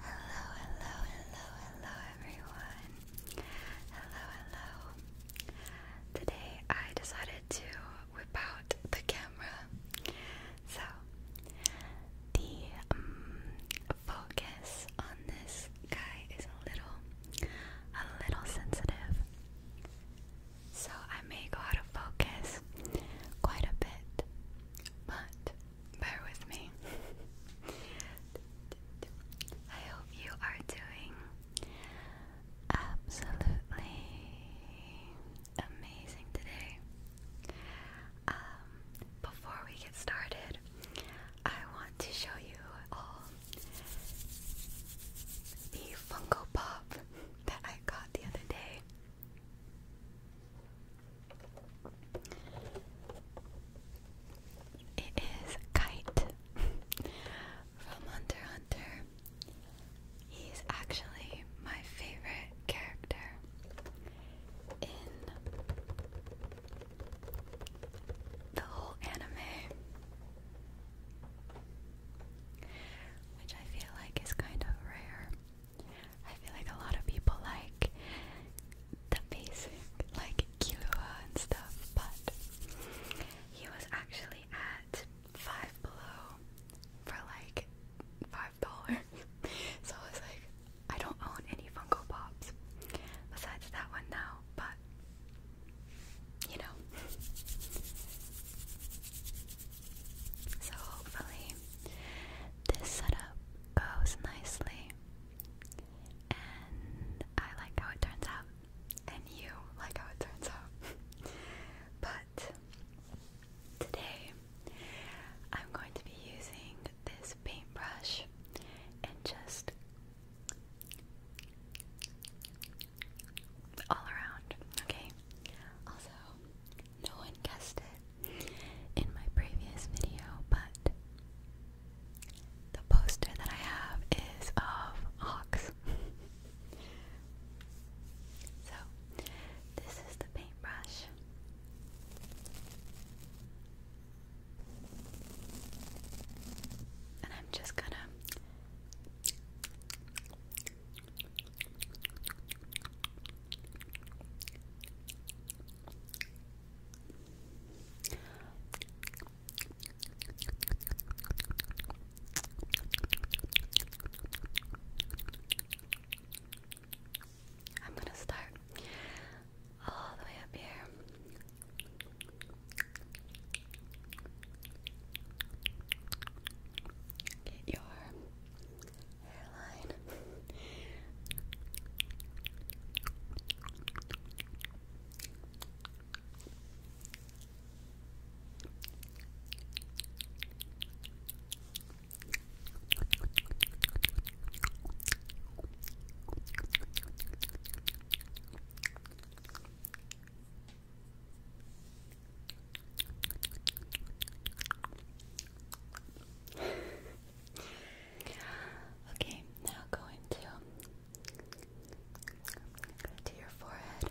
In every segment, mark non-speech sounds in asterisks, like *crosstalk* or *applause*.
Hello, hello, hello, hello, everyone. Hello, hello. Today I decided to whip out the camera. So, the um, focus on this guy is a little, a little sensitive. So, I may go out of focus quite a bit. But bear with me. I hope you are doing absolutely amazing today. Um, before we get started, I want to show you all the Funko Pop that I got the other day. It is Kite from Hunter Hunter. He's actually my favorite character in the whole anime, which I feel like is kind of rare. I feel like a lot of people like the basic, like Kilua and stuff, but he was actually at Five Below for like five dollars. *laughs* so I was like, I don't own any Funko Pops besides that one now, but you know. So hopefully this setup goes nicely and I like how it turns out and you like how it turns out. *laughs* but today I'm going to be using this paintbrush and just all around, okay? Also, no one guessed it in my previous video, but the poster that I have is of Hawks. *laughs* so, this is the paintbrush. And I'm just gonna I'm going to start all the way up here. Get your hairline okay, now going to to your forehead.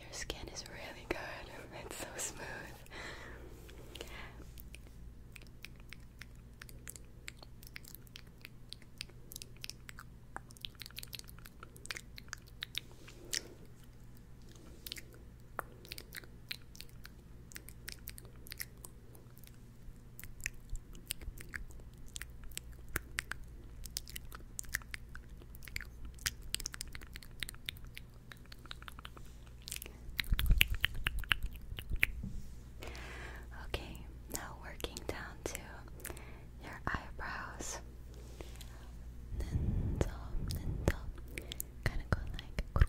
Your skin is really good. *laughs* It's so smooth. Okay, now working down to your eyebrows. Ninja, ninja. Kind of go like.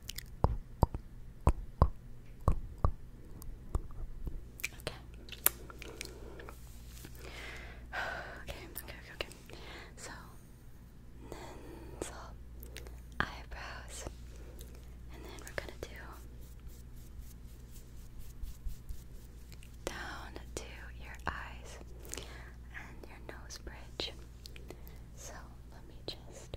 Okay. *sighs* Okay, okay, okay, okay. So, so eyebrows, and then we're gonna do down to your eyes and your nose bridge. So let me just.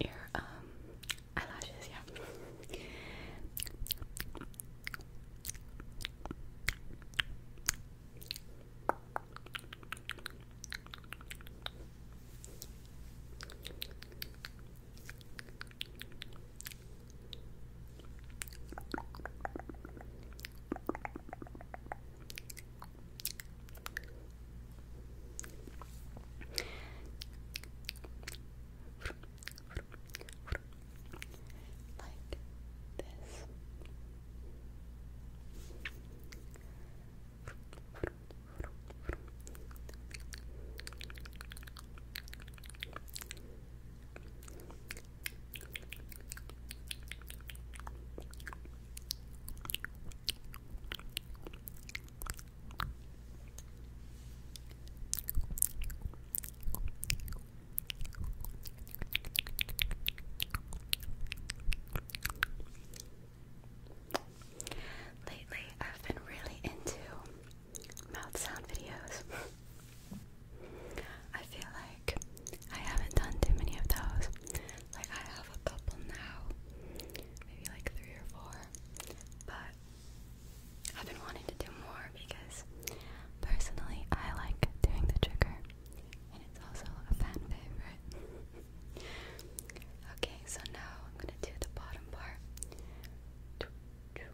Your um eyelashes, yeah. Like this. Like Lately, I've been really into mouth sound videos. I feel like I haven't done too many of those. Like I have a couple now, maybe like three or four, but I've been wanting to do more because personally I like doing the trigger and it's also a fan favorite. *laughs* okay, so now I'm gonna do the bottom part.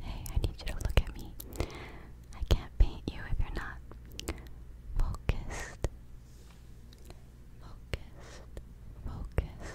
Hey, I need you to look at me. I can't paint you if you're not focused. Focused. Focused.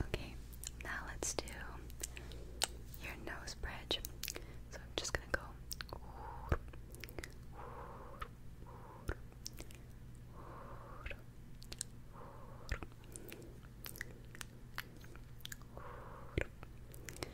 Okay, now let's do your nose bridge. So I'm just gonna go.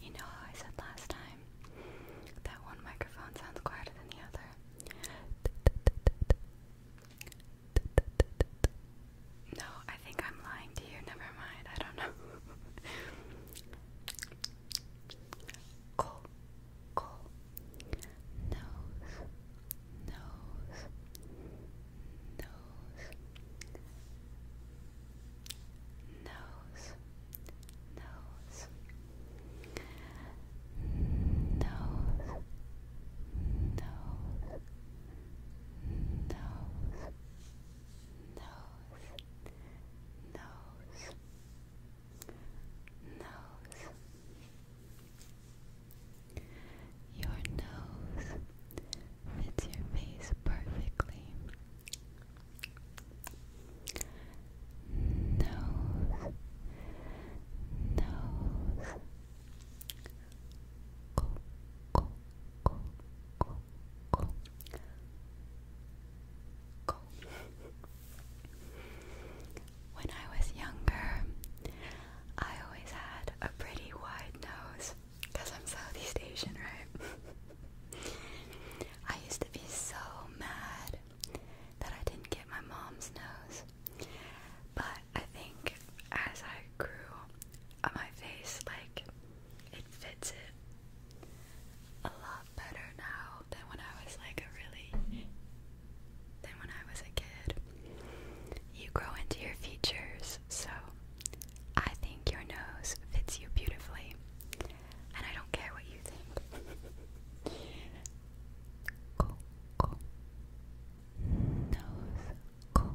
You know how I said last time that one microphone sounds quieter than the other? No, I think I'm lying to you. Never mind. I don't know. Cool. Cool. Nose. Nose. Nose nose, nose, nose, nose, nose. Nose, nose, nose. Your nose fits your face perfectly nose, nose, go, go, go, go, go, go. When I was younger, I always had a pretty wide nose. Because I'm Southeast Asian, right? *laughs* I used to be so mad that I didn't get my mom's nose. But I think as I grew on uh, my face, like, it fits it a lot better now than when I was like a really than when I was a kid. You grow into your features so I think your nose fits you beautifully, and I don't care what you think. Nose, Nose.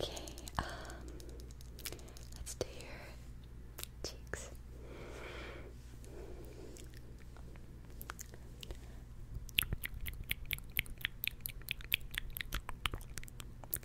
Okay, um, let's do your cheeks.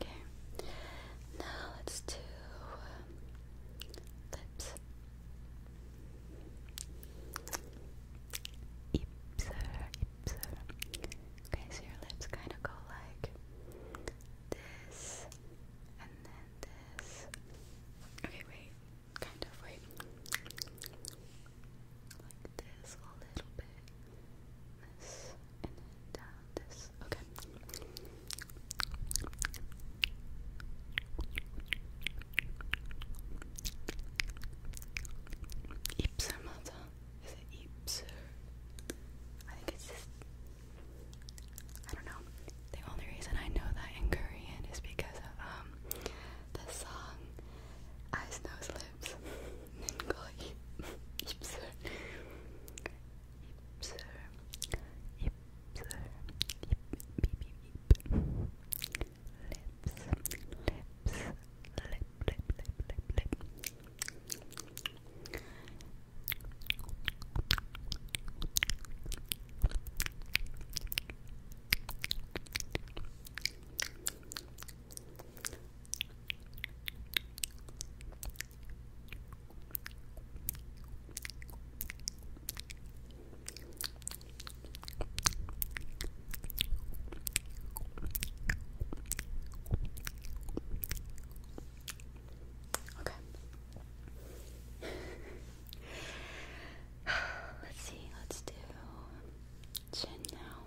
Okay, now let's do lips. Ipser, ipser. Okay, so your lips kind of go like this, and then this. Okay, wait, kind of, wait like this a little bit, this, and then down this. Okay. Ypsimatta? Is I think it's just. I don't know. The only reason I know that in Korean is because of um the song Ice Nose Lips. 있는 거 입술 입술 입술 입입입입 립스 립스 립립립립립 립 Okay. *sighs* let's see, let's do chin now.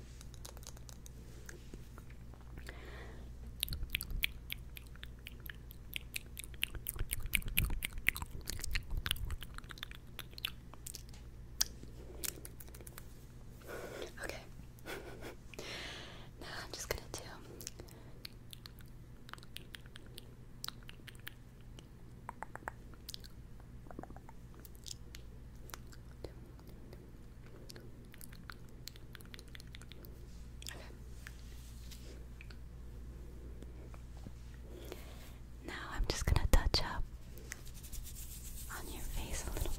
Okay. now I'm just gonna do. Now I'm just going to touch up on your face a little bit.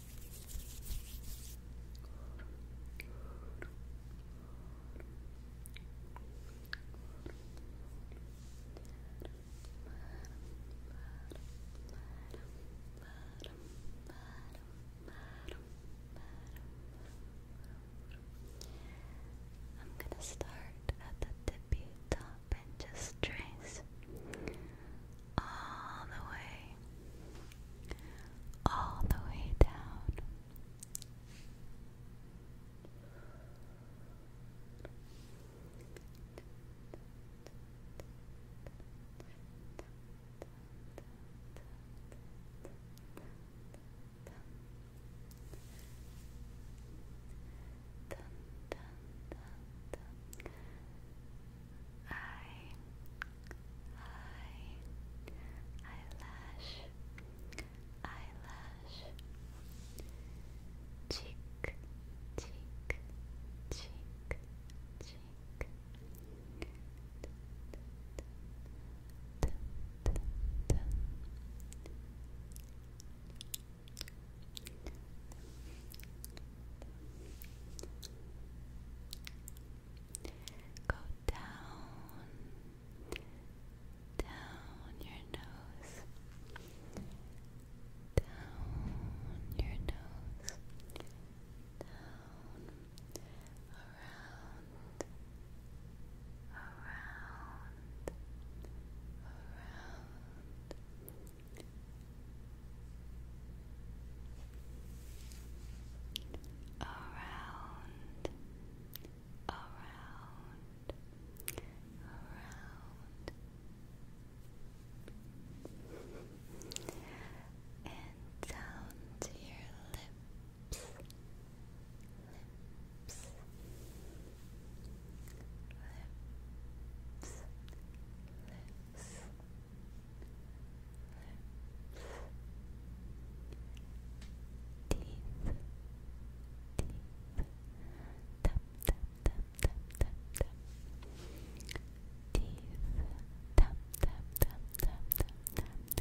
I'm gonna start at the tippy top and just trace all the way, all the way down eye, eye, eyelash, eyelash, cheek, cheek, cheek, cheek. Go down, down your nose, down your nose, down, around, around, around, around, around, around, and down to your lips, lips, lips, lips tap down to your chin. Down, down, down, down, down, down, down, down, down, down, down,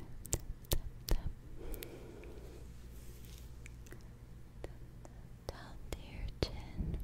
down, down, down, down, down,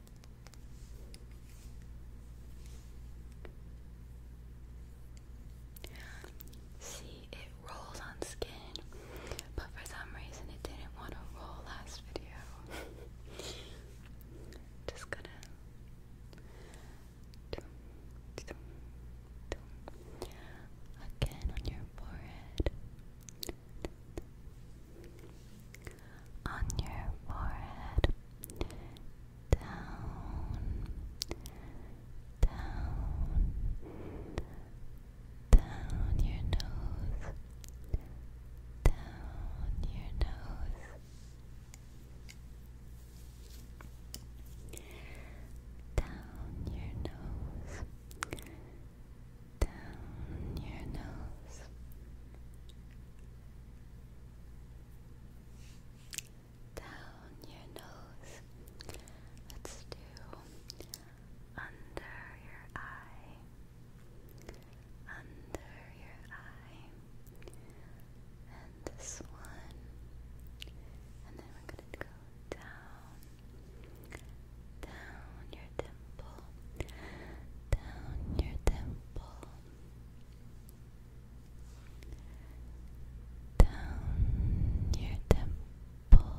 See, it rolls on skin, but for some reason it didn't want to roll last video. *laughs* Just gonna. Again on your forehead on your forehead, down, down, down your nose, down your nose, down your nose. Down your nose, down your nose. Let's do under your eye, under your eye, and this one, and then we're going to go down, down your temple, down your temple down your temple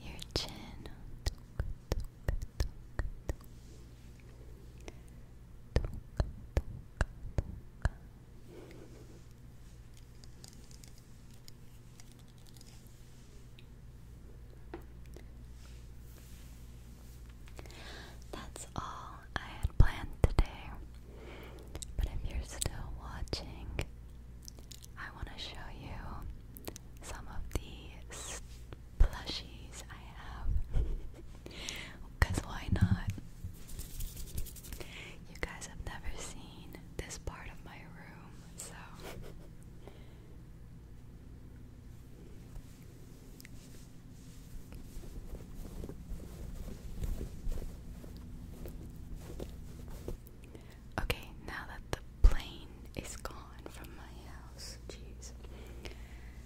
your chin. That's all I had planned today. But if you're still watching, I want to show you some of the plushies I have. Because *laughs* why not? You guys have never seen this part of my room so Okay, now that the plane is gone from my house, jeez,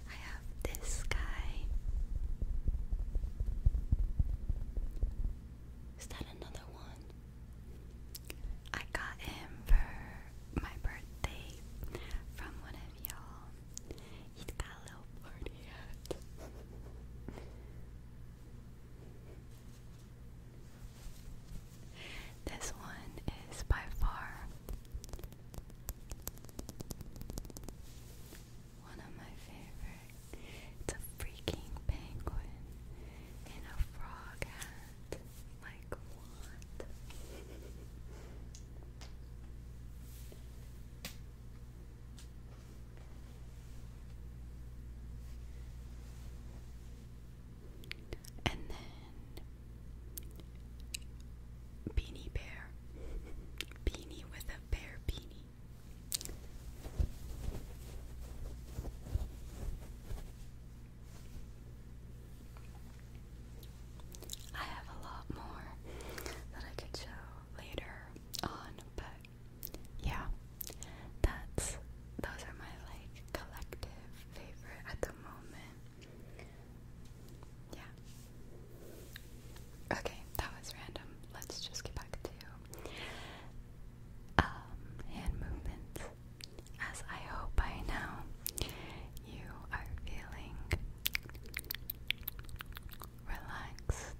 I have this guy. Is that another one? I got him for my birthday from one of y'all. He's got a little party hat. this one is by far one of my favorite. It's a freaking penguin in a frog hat. Like what? and then Beanie Bear. Beanie with a bear beanie. I have a lot more that I could show later on, but yeah, that's those are my like collective favorite at the moment. Yeah. Okay, that was random. Let's just get back to um, hand movements as I hope by now you are feeling relaxed.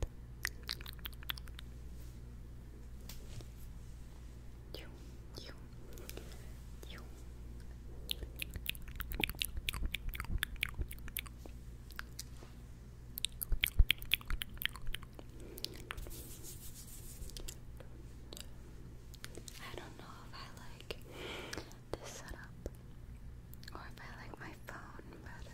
I don't know if I like this setup or if I like my phone better.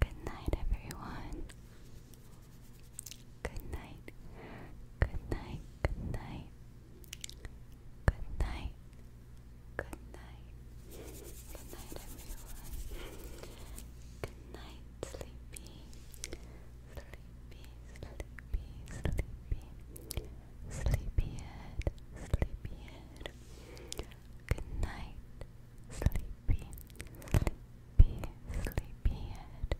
Good night, everyone. Good night. Good night. Good night. Good night. Good night. Good night, everyone. Good night, sleepy. Sleepy, sleepy, sleepy. Sleepyhead, sleepyhead. Good night, sleepy, sleepy, sleepyhead.